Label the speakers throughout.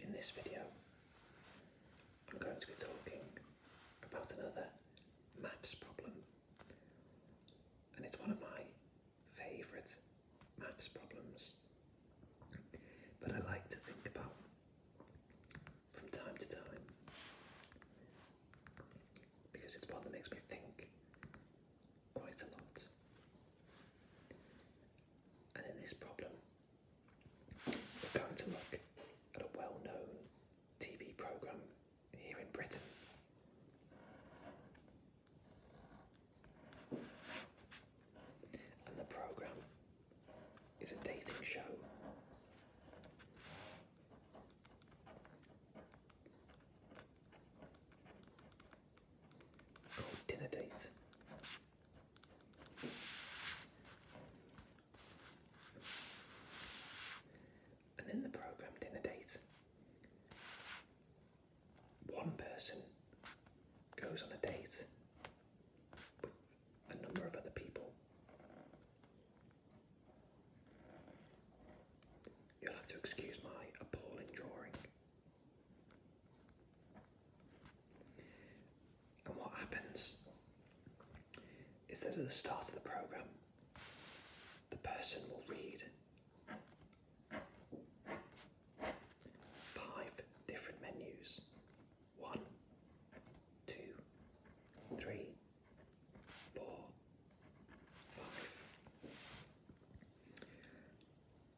Speaker 1: In this video, I'm going to be talking about another maths problem, and it's one of my favourite maths problems but I like to think about from time to time because it's one that makes me think quite a lot. And in this problem, we're going to look at a well known TV programme here in Britain. And the programme is a dating show. Called Dinner Date and then the program dinner date. One person goes on a date with a number of other people. You'll have to excuse my appalling drawing. And what happens is that at the start of the program, the person will read Five different menus. One, two, three, four, five.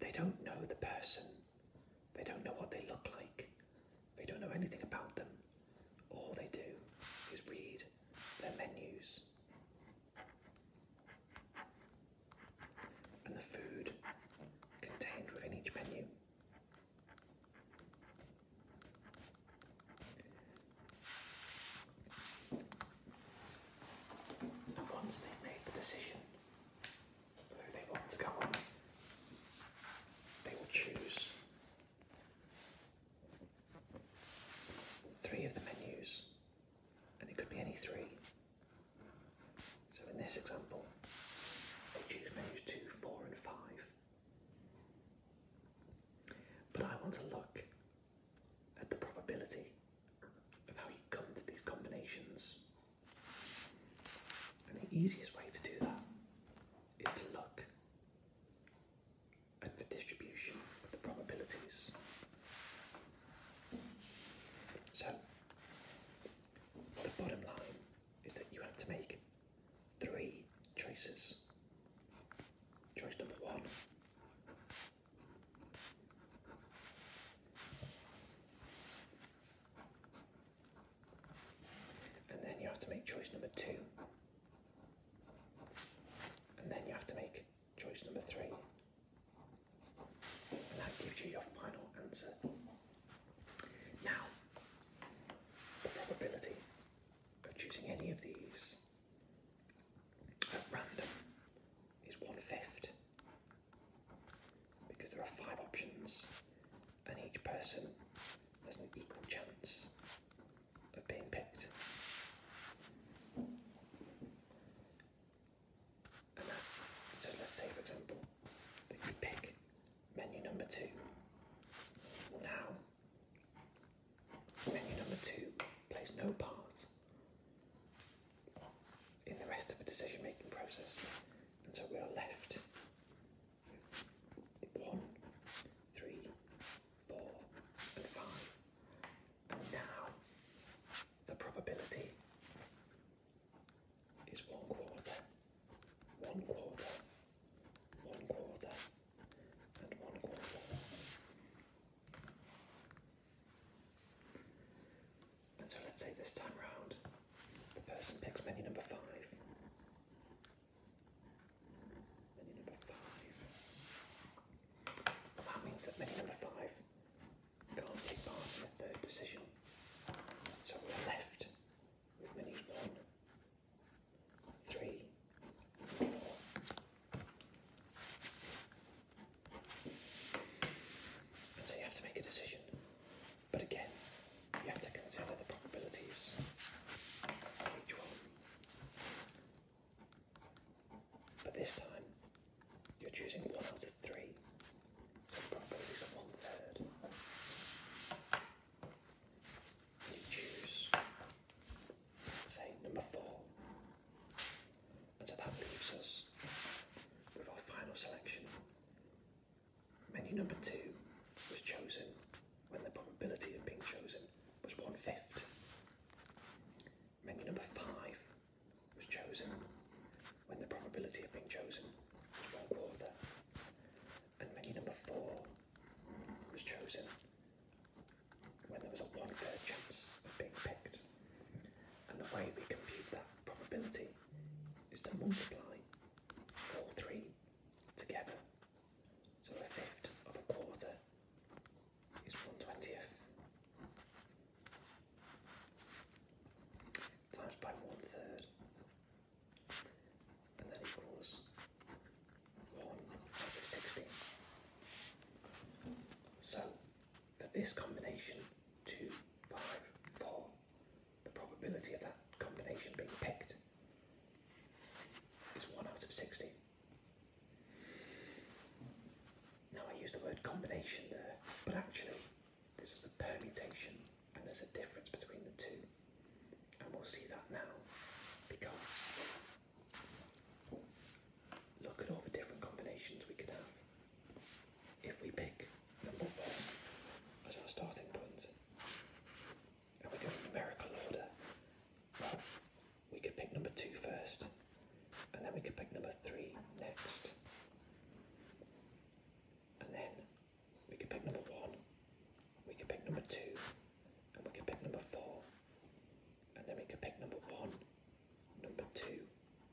Speaker 1: They don't know the person. They don't know what they look like. They don't know anything about them. All they do is read their menus and the food contained within each menu. And once they've the decision who they want to go on, they will choose three of the menus and it could be any three. So in this example, they choose menus 2, 4 and 5. But I want to look at the probability of how you come to these combinations. And the easiest way to do that is to look and the distribution of the probabilities. So, the bottom line is that you have to make three choices. Choice number one. And then you have to make choice number two. And then you have to make choice number three. And that gives you your final answer. Now, the probability of choosing any of these at random is one fifth because there are five options and each person has an equal chance of being picked. And so let's say, for example, that you pick menu number two. Now, menu number two plays no part in the rest of the decision making process, and so we are left with one, three, four, and five. And now the probability is one quarter, one quarter, one quarter, and one quarter. And so let's say this time round the person picks menu number five mini number five. that means that mini number five can't take part in the third decision. So we're left with mini one, three, four. so you have to make a decision. But again, you have to consider the probabilities of one. But this time, you're choosing one out of three. So the probability is one third. You choose, say, number four. And so that leaves us with our final selection. Menu number two was chosen when the probability of being chosen was one fifth. Maybe number five was chosen when the probability of being chosen was one quarter. And menu number four was chosen when there was a one third chance of being picked. And the way we compute that probability is to multiply all three together. So a fifth of a quarter is one twentieth times by one third, and that equals one out of sixteen. So for this combination, two, five, four, the probability of that combination being picked is one out of sixteen. Now I use the word combination there, but actually this is a permutation and there's a difference between the two. And we'll see that now because look at all the different combinations we could have if we pick number one as our starting point and we go in numerical order we could pick number two first, and then we could pick number three next, and then we could pick number one, we could pick number two, and we could pick number four, and then we could pick number one, number two,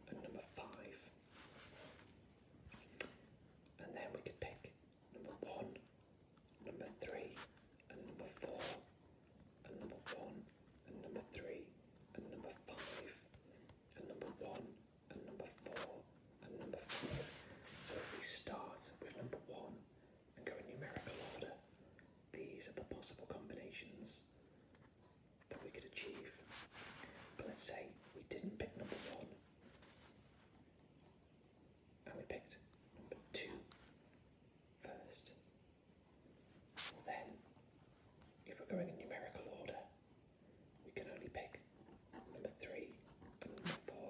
Speaker 1: and number five, and then we could pick number one number three, and number four, and number one, and number three, and number five, and number one, and number four, and number five. So if we start with number one and go in numerical order, these are the possible combinations that we could achieve. But let's say we didn't pick number one and we picked number two first. Then, if we're going in numerical order, we can only pick number three and number four,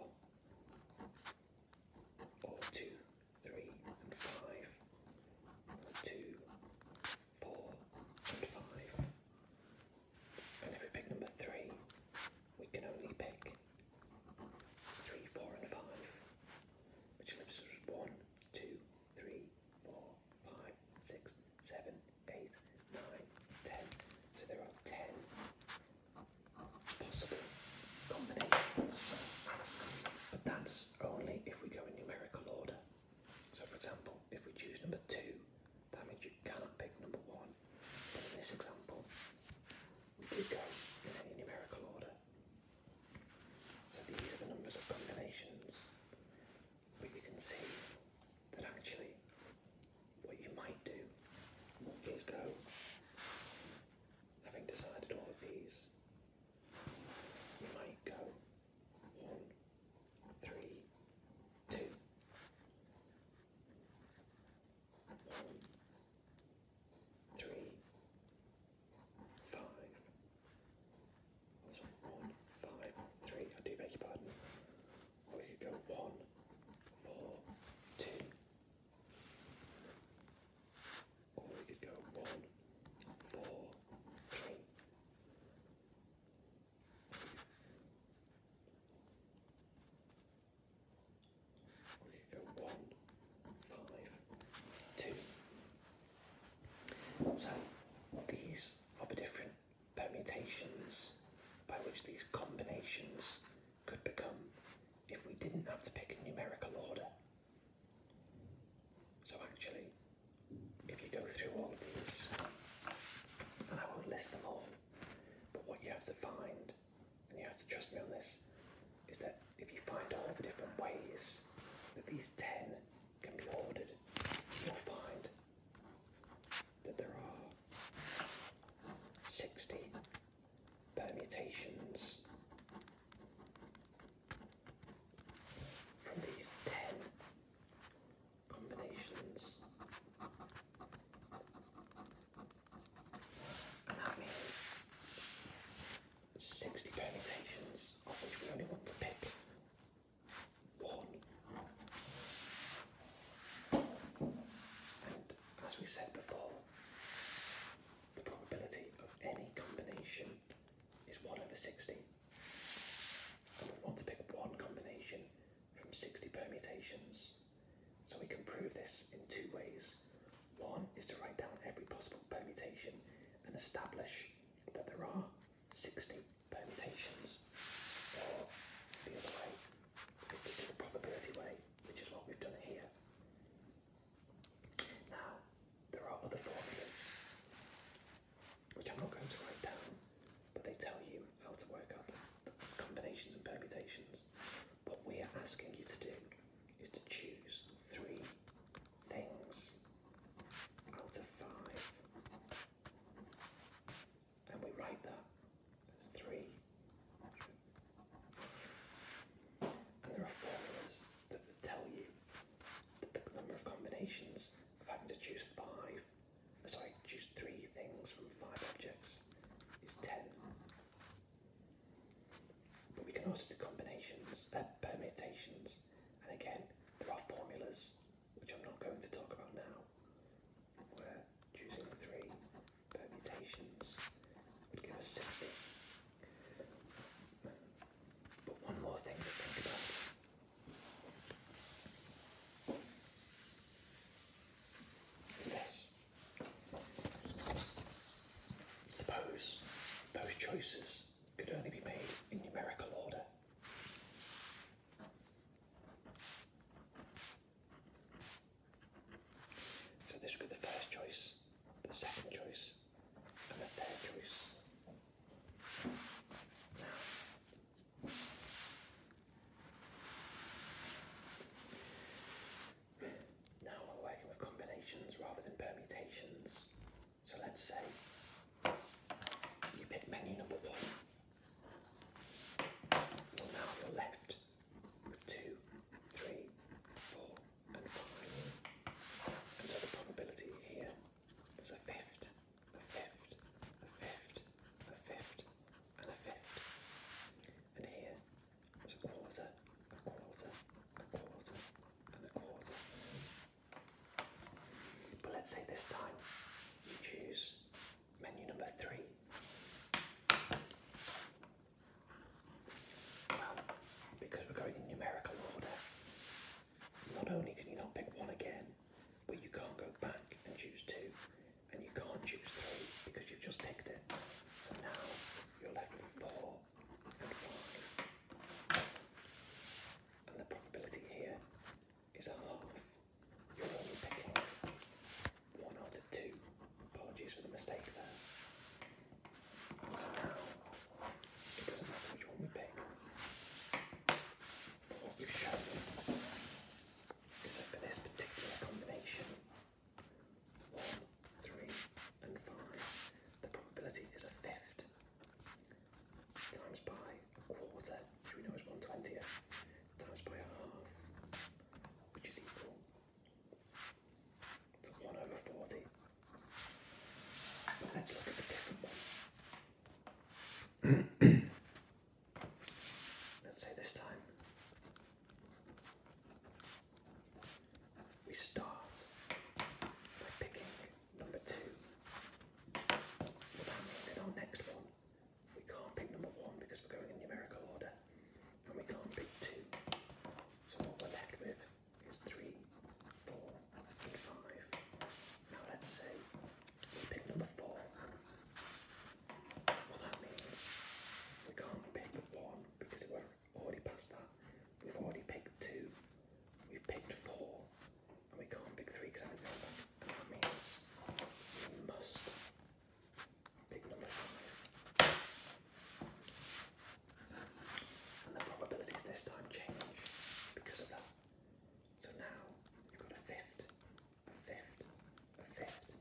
Speaker 1: or two, three, and five, and five. And if we pick number three, we can only pick three, four, and five, which leaves us one, two, three, four, five, six, seven, eight, nine, ten. So there are ten possible combinations. But that's only if we go in numerical order. So for example, if we choose number two, that means you cannot pick number one. But in this example, we did go in any numerical order. So these are the numbers of combinations. But you can see that actually what you might do is go, having decided all of these, you might go one, three, two three, five. one, five, three. I do beg your pardon. Or we could go one, four, two. Or we could go one, four, three. One, five, two. So these are the different permutations by which these combinations could become if we didn't have to pick a numerical order. So actually, if you go through all of these, and I won't list them all, but what you have to find and you have to trust me on this, is that if you find all the different ways that these 10 can be ordered, you'll find that there are 60 permutations from these 10 combinations that means 60 permutations, of which we only want to pick one. And as we said before, the probability of any combination is 1 over 60. And we want to pick one combination from 60 permutations. So we can prove this in two ways. One is to write down every possible permutation and establish that there are 60 permutations. Or the other way is to do the probability way, which is what we've done here. Now, there are other formulas which I'm not going to write down, but they tell you how to work out combinations and permutations. What we are asking you to do is to choose three things out of five. And we write that as three. And there are formulas that tell you that the number of combinations of having to choose five, uh, sorry, choose three things from five objects is ten. But we can also do combinations, uh, permutations, and again, there are formulas which I'm not going to talk about now, where choosing three permutations would give us 60. But one more thing to think about. Is this? Suppose those choices could only be made in numerical order. So this would be the first choice, the second choice, and the third choice. Now we're working with combinations rather than permutations. So let's say you pick menu number one. Well, now you're left with two, three, four, and five. And so the probability here is a fifth, a fifth, a fifth, a fifth, and a fifth. And here but let's say this time you choose menu number three. Well, because we're going in numerical order, not only can you not pick one again, but you can't go back and choose two, and you can't choose three because you've just picked it. So now you're left with four and five. And the probability here is a half. You're only picking one out of two. Apologies for the mistake there. So now, it doesn't matter which one we pick. what we've shown is that for this particular combination, three, and five. The probability is a fifth times by a quarter, which we know is one twentieth, times by a half, which is equal to one over forty. let's look at a different one. let's say this time we start by picking number two. Well, that means in our next one, we can't pick number one because we're going in numerical order, and we can't pick two. So what we're left with is three, four, and five. Now let's say we pick number four. Well, that means we can't pick one because it will already past that. We've already picked two. We've picked four. And we can't pick three because Anne's going back. And that means we must pick number five. And the probabilities this time change because of that. So now you've got a fifth, a fifth, a fifth,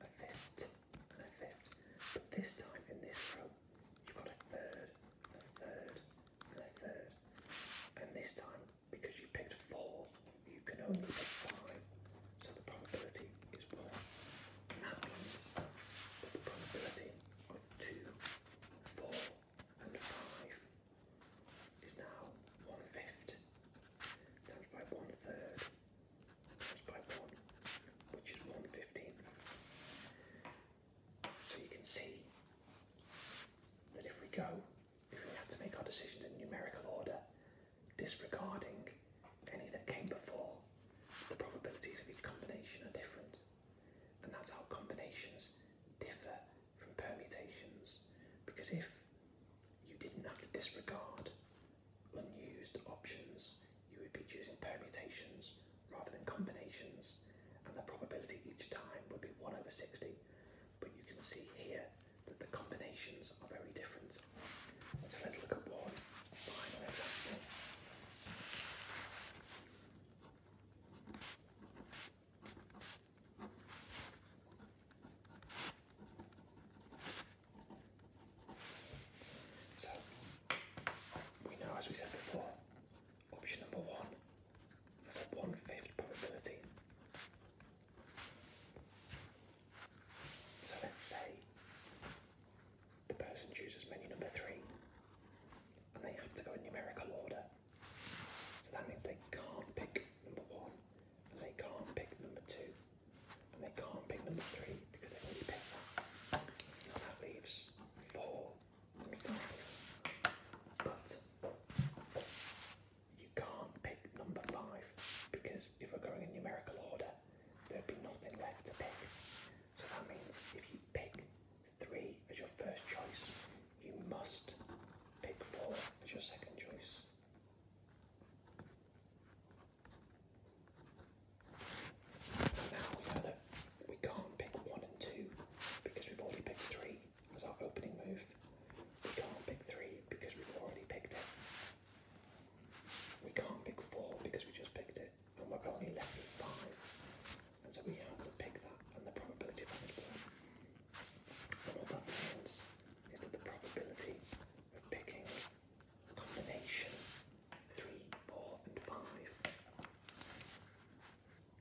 Speaker 1: a fifth, and a fifth. But this time in this row, you've got a third, a third, a third. And this time, because you picked four, you can only pick five. So the probability is one. that means that the probability of two, four, and five is now one fifth times by one third by 1, which is 1 So you can see that if we go, if we have to make our decisions in numerical order, disregarding any that came before, the probabilities of each combination are different. And that's how combinations differ from permutations. Because if you didn't have to disregard unused options, you would be choosing permutations rather than combinations, and the probability each time would be 1 over 60. But you can see here that the combinations are very different. So let's look at one final example. So we know, as we said before, option number one has a one fifth probability. So let's say the person chooses menu number three and they have to go in numerical order. So that means they can't pick number one and they can't pick number two and they can't pick number three because they've already picked that. that leaves four But you can't pick number five because if we're going in numerical order, there'd be nothing left to pick. So that means if you pick three as your first choice, you must pick four as your second choice. Now we know that we can't pick one and two because we've already picked three as our opening move. We can't pick three because we've already picked it. We can't pick four because we just picked it, and we're only left with five. And so we have to pick that and the probability of having that the probability of picking combination three, four, and five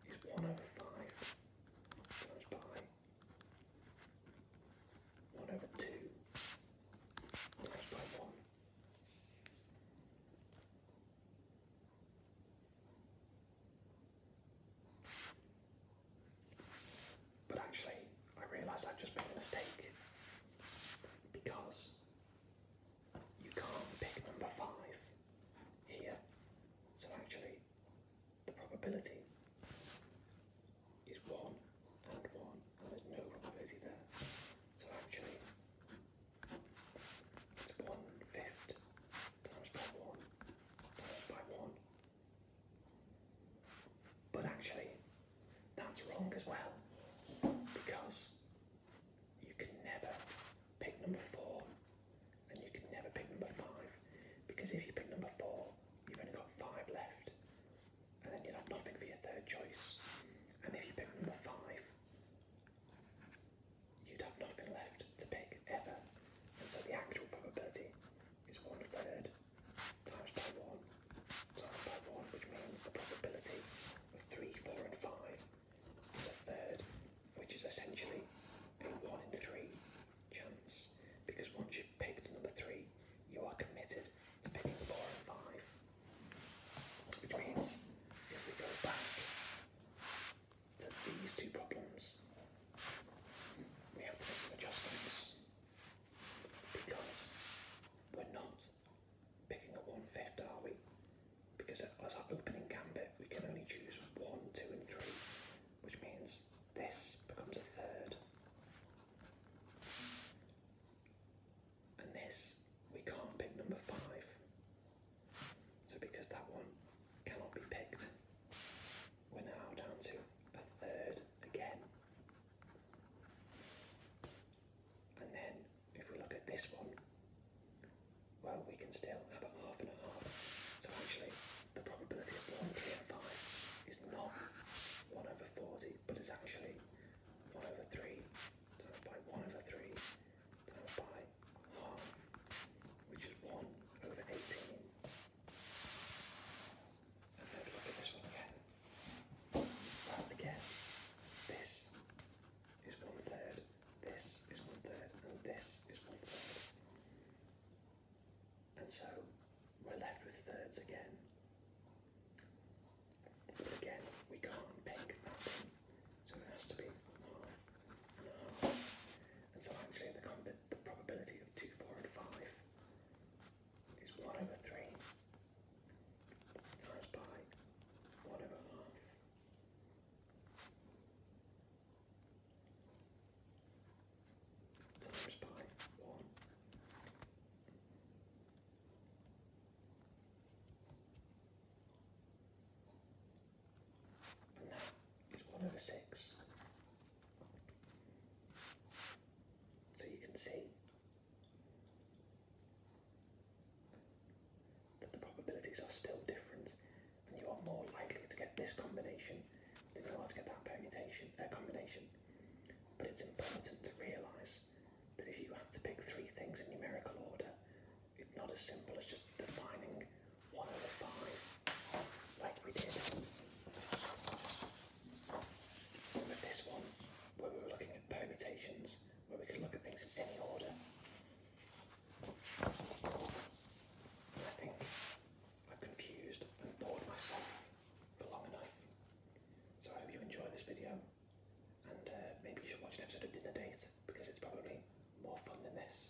Speaker 1: is one over five times by one over two times by one. But actually, I realise I've just made a mistake because you can't pick number five here. So actually, the probability is one and one, and there's no probability there. So actually, it's one fifth times by one times by one. But actually, that's wrong as well because you can never pick number four and you can never pick number five because if you pick number four, you've only got five left and then you'll have nothing for your third choice. And if you pick number five, you'd have nothing left to pick ever. And so the actual probability is one third times by one times by 1, which means the probability of 3, 4 and 5 is a third, which is essentially a 1 in 3 chance, because once you've picked number 3, you are committed to picking 4 and 5, which means if we go back to these two problems, we have to make some adjustments. Because we're not picking a one fifth, are we? Because as our opening gambit, we can only choose one, two, and three, which means this becomes a third. And this, we can't pick number five. So, because that one cannot be picked, we're now down to a third again. And then if we look at this one, well, we can still have a half and a half. So actually, the probability of one clear five is not 1 over 40, but it's actually 1 over 3 times by 1 over 3 times by half, which is 1 over 18. And let's look at this one again. again, this is one third, this is one third, and this is one third. And so we're left with thirds again. But again, we can't unpick that so it has to be half and half. And so actually in the, combat, the probability of 2, 4 and 5 is 1 over 3 times by one over half. Times by one. And that is one over six. So you can see but the probabilities are still different, and you are more likely to get this combination than you are to get that permutation uh, combination. But it's important to realise that if you have to pick three things in numerical order, it's not as simple as just defining one over five like we did. But this one, where we were looking at permutations, where we could look at things in any order, I think I've confused and bored myself for long enough. So I hope you enjoy this video, and uh, maybe you should watch an episode of Dinner Date because it's probably more fun than this.